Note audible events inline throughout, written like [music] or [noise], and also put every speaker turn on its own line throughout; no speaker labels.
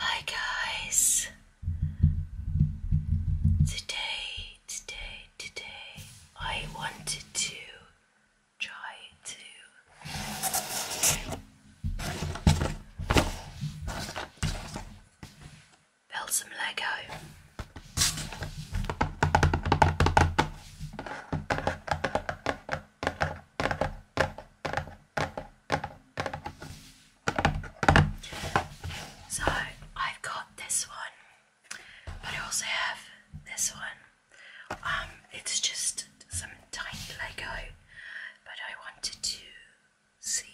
Hi guys. Today, today, today, I wanted to try to build some Lego. So I've got this one, but I also have this one. Um, it's just some tiny Lego, but I wanted to see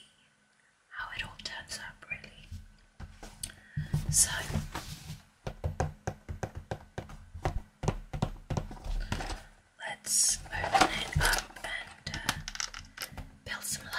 how it all turns out, really. So, let's open it up and uh, build some Lego.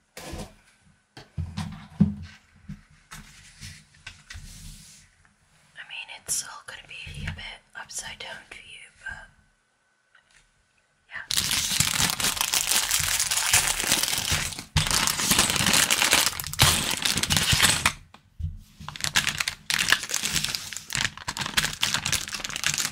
I mean, it's all going to be a bit upside down for you, but yeah.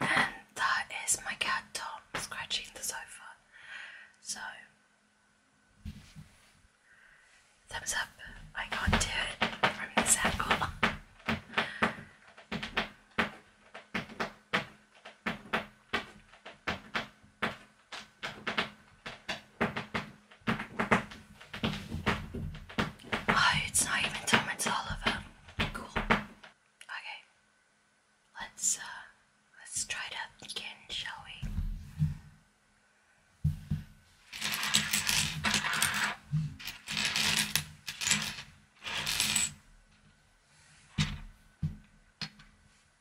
And that is my cat Tom scratching the sofa. So, thumbs up. I can't do it from this angle. Oh, it's not even Tom, it's Oliver. Cool. Okay. Let's uh, let's try that again, shall we?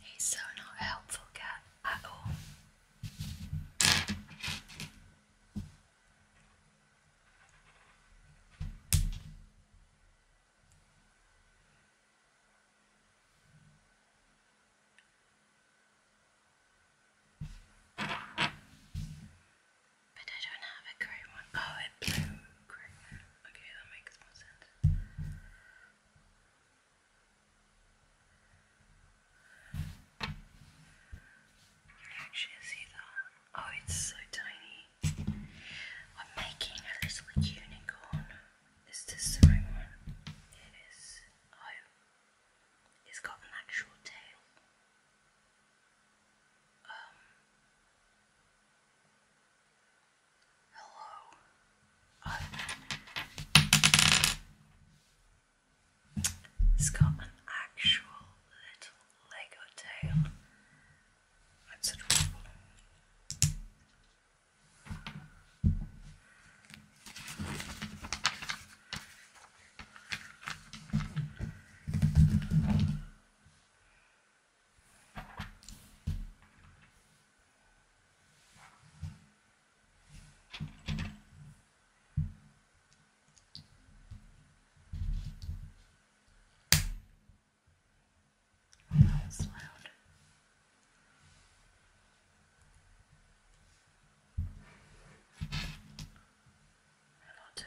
He's so not helpful cat at all. But I don't have a grey one. Oh, a blue grey. Okay, that makes more sense. You actually see that. Oh, it's so tiny. I'm making a little unicorn. Is this the right one? It is. Oh, it's got an actual tail. Um. Hello. I'm it's got an actual little Lego tail. That's adorable. Oh, that was loud. Hello, Tom.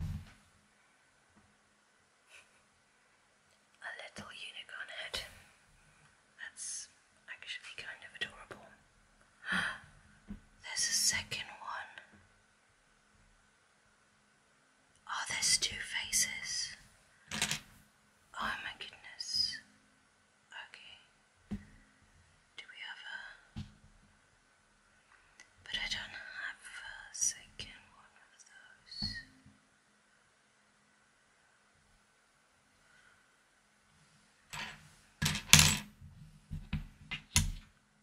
A little unicorn head. That's actually kind of adorable. [gasps] There's a second one. Oh, there's two faces. Oh my goodness. Okay. Do we have a but I don't have a second one of those.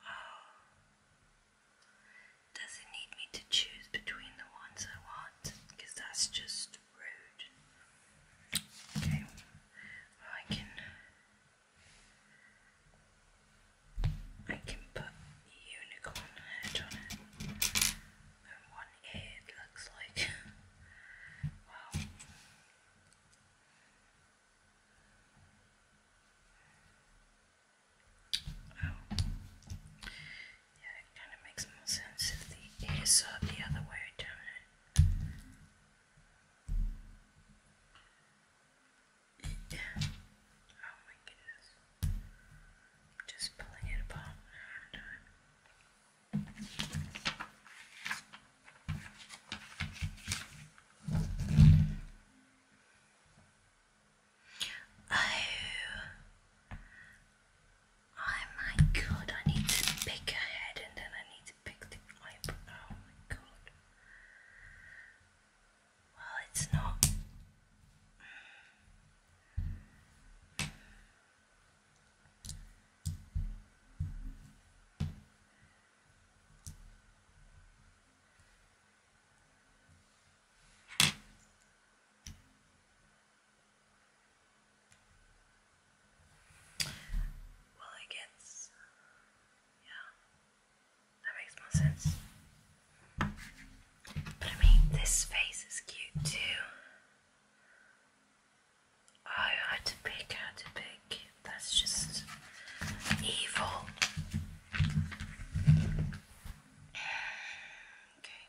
Oh. Does it need me to choose between the ones I want? Because that's just rude. Okay. I can I can put unicorn head on it. And one ear looks like. [laughs] wow. Oh. Yeah, it kind of makes more sense if the ears are the other way down it oh my goodness. just pulling it apart Oh. Oh my god, I need to pick a head and then I need to pick the eyebrow. Oh my god. Well, it's not. Well, I guess yeah, that makes more sense. But I mean, this face is cute too. Oh, I had pick, I had pick. That's just evil. Okay,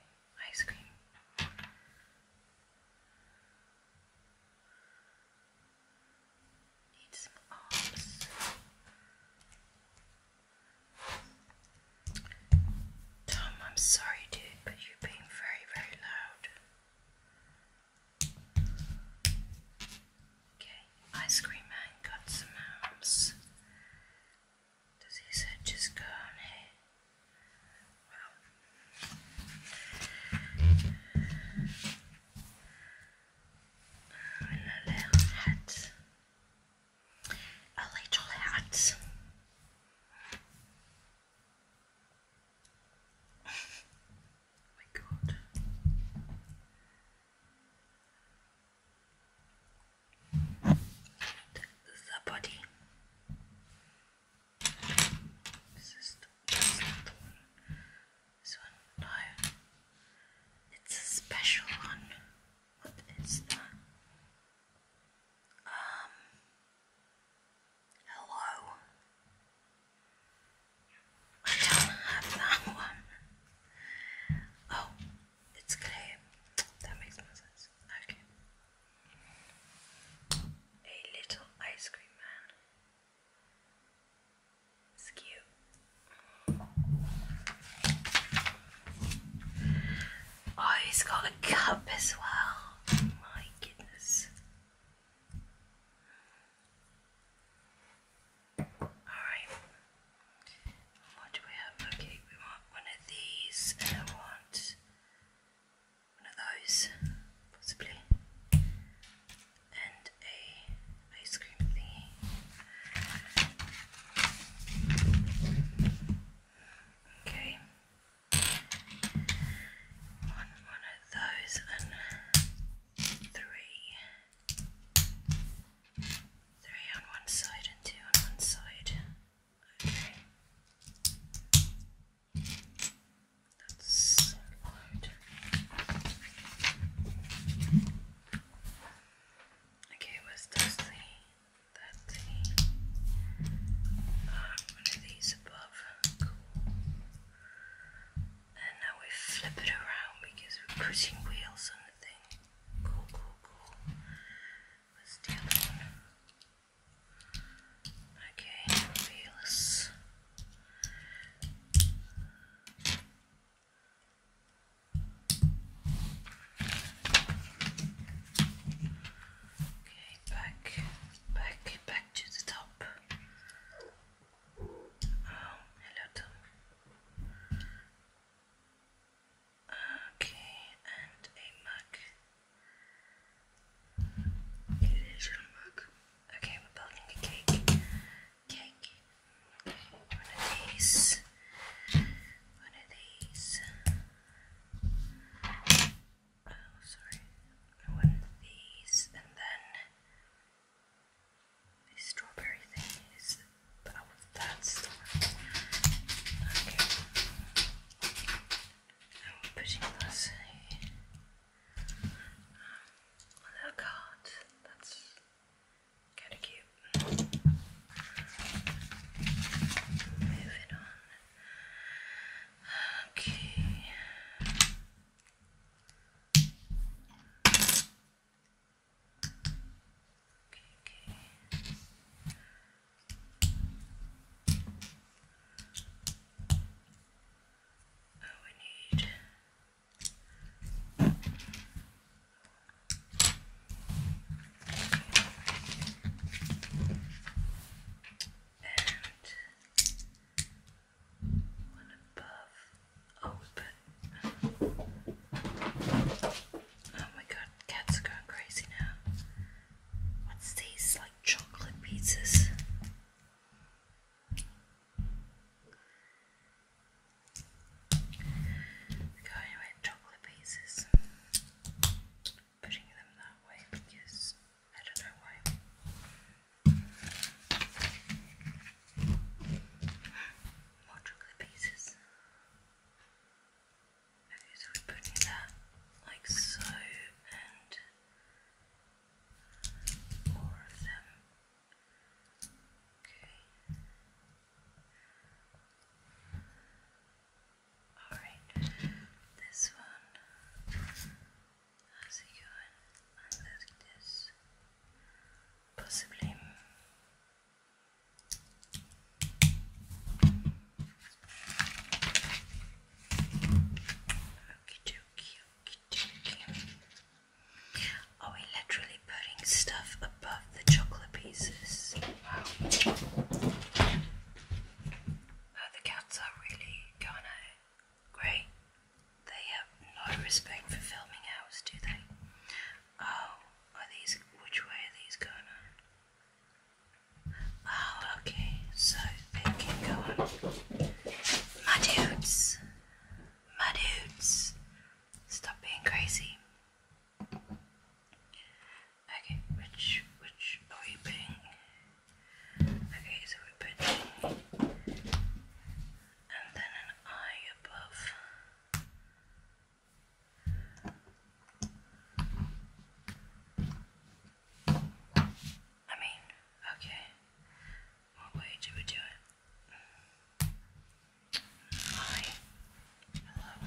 ice cream. Tom, I'm sorry, dude, but you are being very, very loud. Okay, Ice Cream Man got some arms. Does his head just go on here? A little hat. A little hat. oh my God. The body. This is the, that's one. This one, no. It's a special one. What is that? Um. Hello. I don't have that [laughs] one. Oh, it's clear. That makes more sense. Okay. A little ice cream man. It's Oh, he's got a cup as well. My goodness. Alright. What do we have? Okay, we want one of these and I want one of those, possibly, and a ice cream thingy. Okay, one, one of those, and three, three on one side and two on one side. Okay. That's so loud. Okay, what's this thing? That ah, thing. one of these above. And now we flip it around because we're putting wheels on the thing. Cool, cool, cool. What's the other one? Okay, feels Okay, back, back, back to the top. Oh, hello Tom. Okay, and a mug. Okay, we're building a cake. one of these. One of these. Oh, sorry. One of these, and then this strawberry thing is. Oh, that's the one. Okay. I'm putting this on a card. That's kind of cute. Moving on. Okay, okay. Oh, we need and one above. Oh, but oh my God, cats are going crazy now. What's these? Like chocolate pizzas. going with chocolate pieces. Putting them that way because I don't know why. More chocolate pieces. Okay, so we're putting that like so, and more of them. Okay. Alright, this one. How's it going? I this. Possibly Okie dokie, okie dokie. Are we literally putting stuff above the chocolate pieces? Wow. Oh, the cats are really going at Great. They have no respect for filming hours, do they? Oh, are these, which way are these going Oh, okay, so it can go on. My dudes, my dudes, stop being crazy. Okay, which, which are we putting? Okay, so we're putting, and then an eye above. I mean, okay. What way do we do it? Hi. Hello.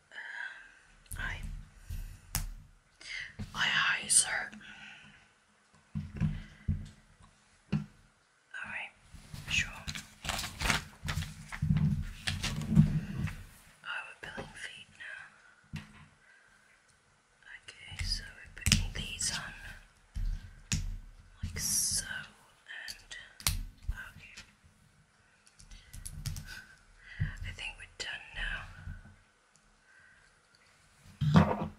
Um, hi, hi, sir. Alright, sure. Oh, we're billing feet now. Okay, so we're putting these on like so and okay. I think we're done now.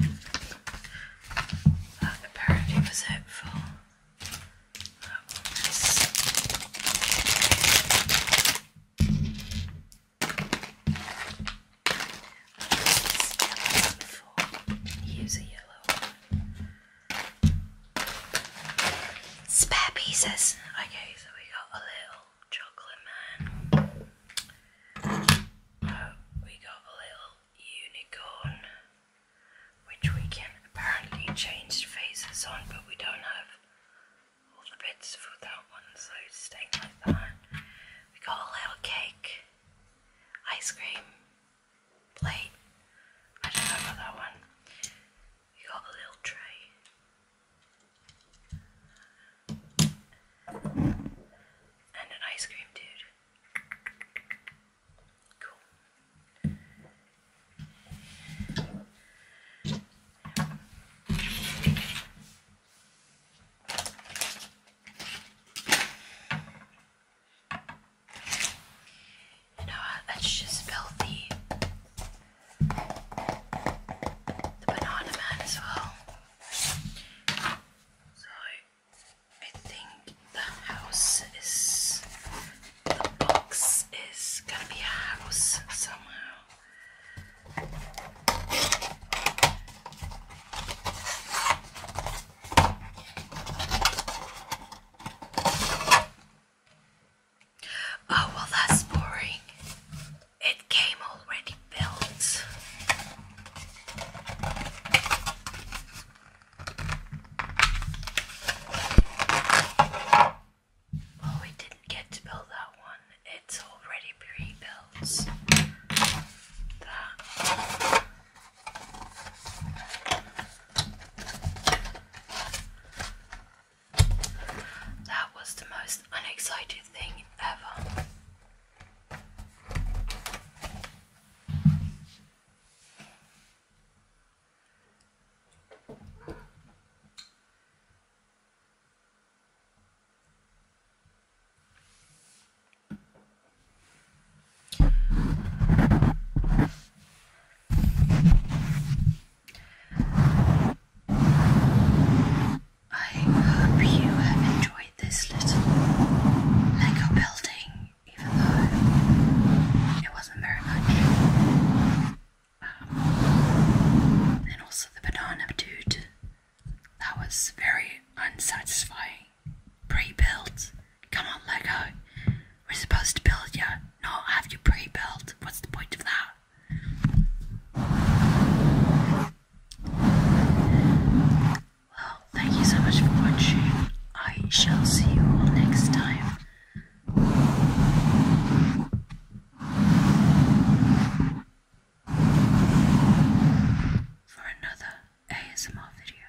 Uh, that apparently was it that one. Nice. Use a yellow one. Spare pieces. Okay, so we got a little chocolate man. Uh, we got a little unicorn, which we can apparently change faces on, but we don't have all the bits for that one, so it's like that. We got a little cake, ice cream plate. I don't know that one. We got a little tray. And an ice cream dude. Cool. You know uh, Let's just build the the banana man as well. So I think the house is the box is gonna be a house somehow. Oh, well, that's boring. It came already built. Well, we didn't get to build that one, it's already pre built. That. That was the most unexciting thing ever. I hope you have enjoyed this little Lego building, even though it wasn't very much. Um, and also the banana dude, that was very unsatisfying. Pre-built, come on Lego, we're supposed to build you, not have you pre-built, what's the point of that? Well, thank you so much for watching. I shall see you all next time. For another ASMR video.